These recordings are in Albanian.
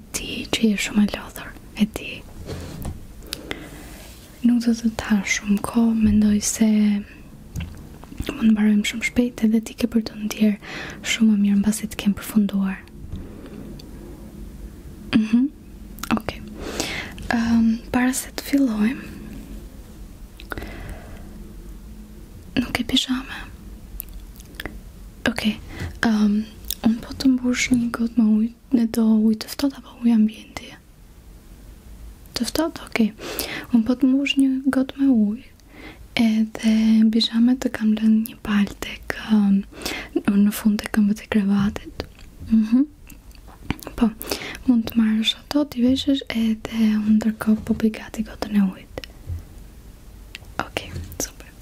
e di që je shumë e lodhur, e di. Nuk do të ta shumë ko, mendoj se mund të mbarojmë shumë shpejt edhe ti ke për të ndjerë shumë më mirë në basit të kemë përfunduar. Mhm, mm ok. Um, para se të fillojmë, nuk e pishame. Ok, um, unë po të mbush një gotë më ujtë, në do ujë të ftohtë apo ujë ambienti. Të ftohtë, okay. Un po të mosh një got me ujë. Edhe bishamet të kam lënë një palë tek um, në fund të këmbëve të krevatit. Mhm. Mm po. Mund të marrësh ato, ti veshësh edhe ndërkohë po bëj gati gotën e ujit. Okej, super.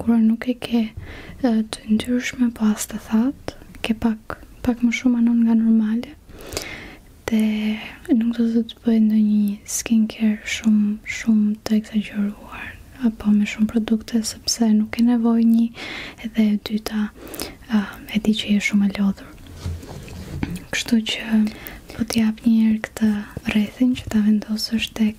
kur nuk e ke të ndyrshme po as të that, ke pak pak më shumë anon nga normale. Dhe nuk do të të bëjë ndë një skin care shumë, shumë të exageruar apo me shumë produkte sepse nuk e nevoj një edhe e dyta e di që e shumë e lodhur kështu që po t'jap një erë këtë rrethin që ta vendosë është tek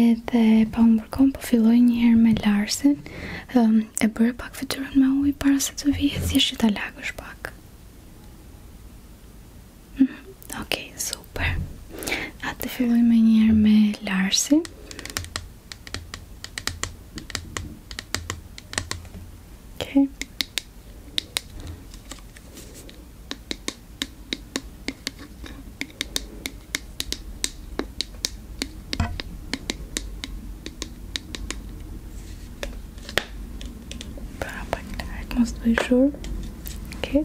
edhe pa më përkom po filloj njëherë me Larsin um, e bërë pak fëtyrën me ujë para se të vijë Si është që ta lagësh pak mm, ok, super atë filloj me njëherë me Larsin ok Perfect. I must be sure. Okay.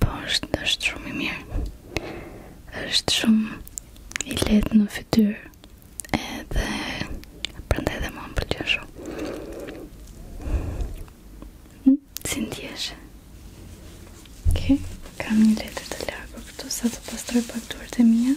Po është, është shumë i mirë është shumë i letë në fytyrë dhe prende edhe më më pëllëshu hm, Si ndjese Ok, kam një letër të lakur këtu sa të pastroj për aktuar të mija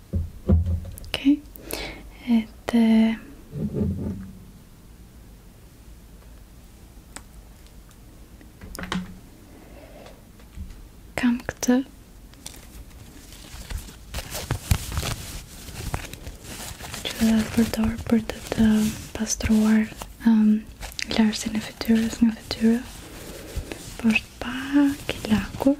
Okej. Okay. kam këtë që dhe të përdojrë për të të pastruar um, lërësin e fityrës nga fityrë për është pak i lakur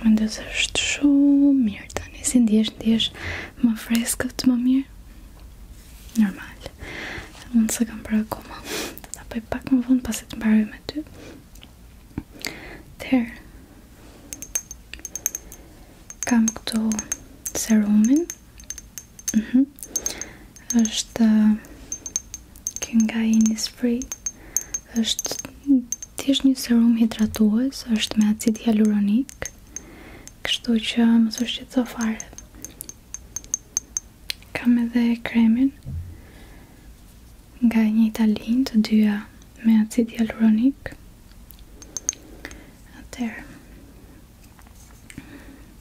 Më ndës është shumë mirë të një si ndihesh, ndjesh më freskët, më mirë. Normal. Unë së kam bërë koma, Apo i pak më vonë pas e të mbarëve me ty. Tërë. Kam këtu serumin. Mhm. është uh, kënga Innisfree është thjesht një serum hidratues, është me acid hialuronik. Kështu që mos u shqetëso fare. Kam edhe kremin nga një italin të dyja me acid hialuronik. Atëherë.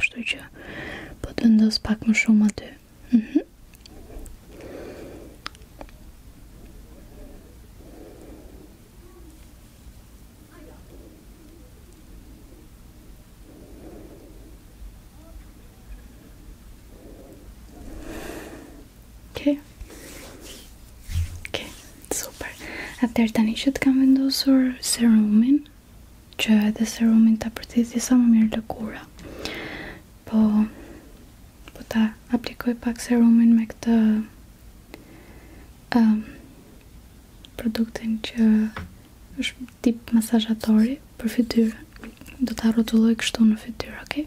kështu që po të ndos pak më shumë aty. Mhm. Mm Atëherë tani që të kam vendosur serumin, që edhe serumin të apërtit sa më mirë lëkura po po ta aplikoj pak serumin me këtë um, produktin që është tip masajatori për fityrë do ta rrotulloj kështu në fytyrë, okay?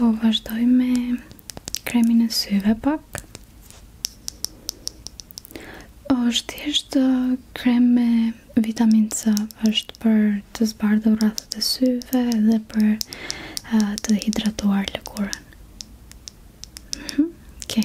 Po vazhdoj me kremin e syve pak O është uh, krem me vitamin C është për të zbardhë rrathët e syve dhe për uh, të hidratuar lëkurën mhm, Oke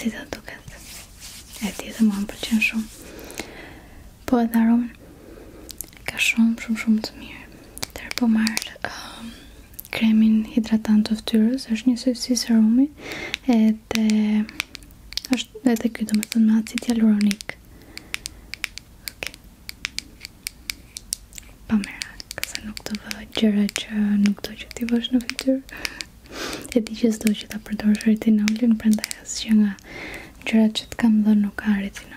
Si të duket E ti dhe ma më përqen shumë Po edhe aromen Ka shumë shumë shumë të mirë Tërë po marrë um, Kremin hidratant të fëtyrës është një sësisë aromi Edhe është edhe ky domethënë me acid hyaluronik. Okay. Pa më nuk të vë gjëra që nuk do që ti vësh në fytyr e di që s'do që ta përdorësh retinolin, prandaj që nga gjërat që të kam dhënë nuk ka retinol.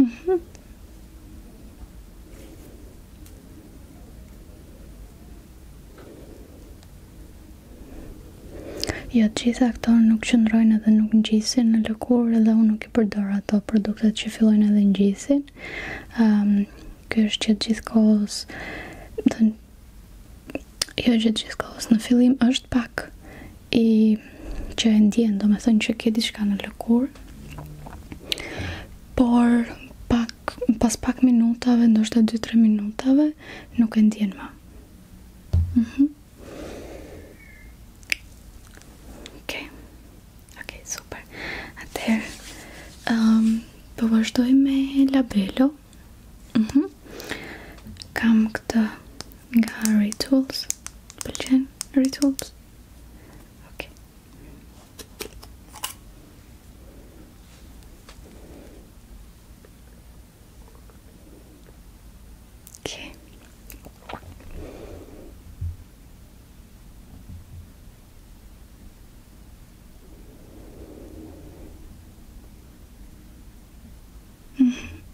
Mhm. Jo, të gjitha këto nuk qëndrojnë edhe nuk në në lëkur edhe unë nuk i përdor ato produktet që fillojnë edhe në gjisin. Um, ehm, Kjo është që të gjithë kohës jo që të gjithë kohës në fillim është pak i që e ndjen do me thënë që ke diçka në lëkur por pak, pas pak minutave ndoshta 2-3 minutave nuk e ndjen ma mhm mm ok ok super atër um, ehm, po me labelo mhm mm kam këtë nga rituals بالجن rituals okay okay mm-hmm.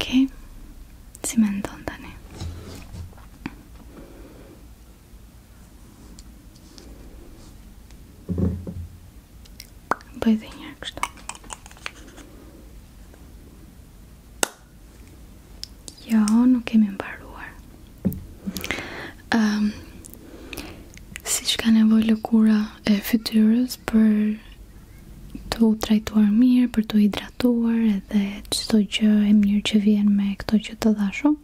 Ok, si me ndonë tani Bëjt e njerë Jo, nuk kemi mbaruar ehm, Si që ka nevoj e fytyrës kujdes për të u trajtuar mirë, për të hidratuar edhe çdo gjë e mirë që vjen me këto që të dhashun.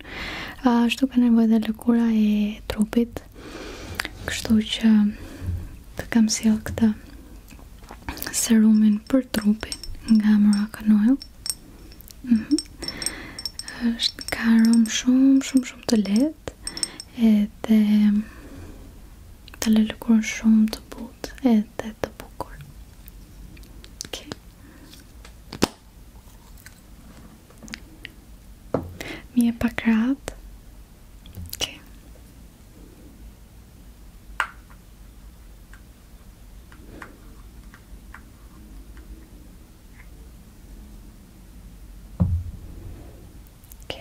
Ashtu ka nevojë dhe lëkura e trupit. Kështu që të kam sjell këtë serumin për trupin nga Moroccan Oil. Mhm. Mm Është ka rom shumë shumë shumë të lehtë vetë edhe të lëllukurën shumë të butë edhe të bukur ok mi e pak rat ok ok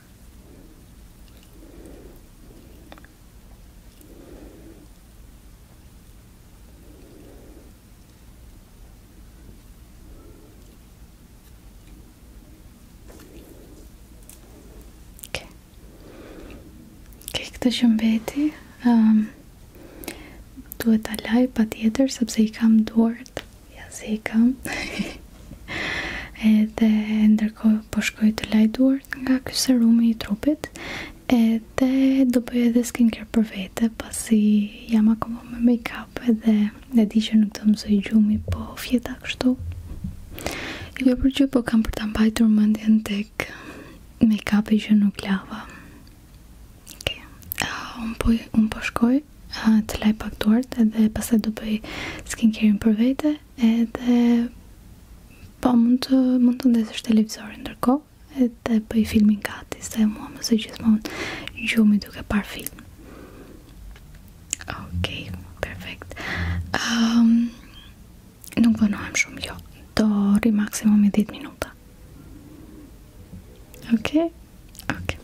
Këtë shumë beti, um, ehm, duhet ta laj pa tjetër, sepse i kam duart, ja si i kam. edhe ndërkohë po shkoj të laj duart nga ky serum i trupit edhe do bëj edhe skincare për vete pasi jam akoma me make-up edhe e di që nuk do të mësoj gjumi po fjeta kështu jo për gjë po kam për ta mbajtur mendjen tek make-upi që nuk lava ok uh, un po un po shkoj uh, të laj pak duart edhe pastaj do bëj skincare për vete Edhe po mund të mund të ndezësh televizorin ndërkohë edhe po i filmin gati, se mua më së gjithmonë gjumi duke par film. Okej, perfekt. um, nuk vënohem shumë jo. Do rri maksimum 10 minuta. Okej. Okay?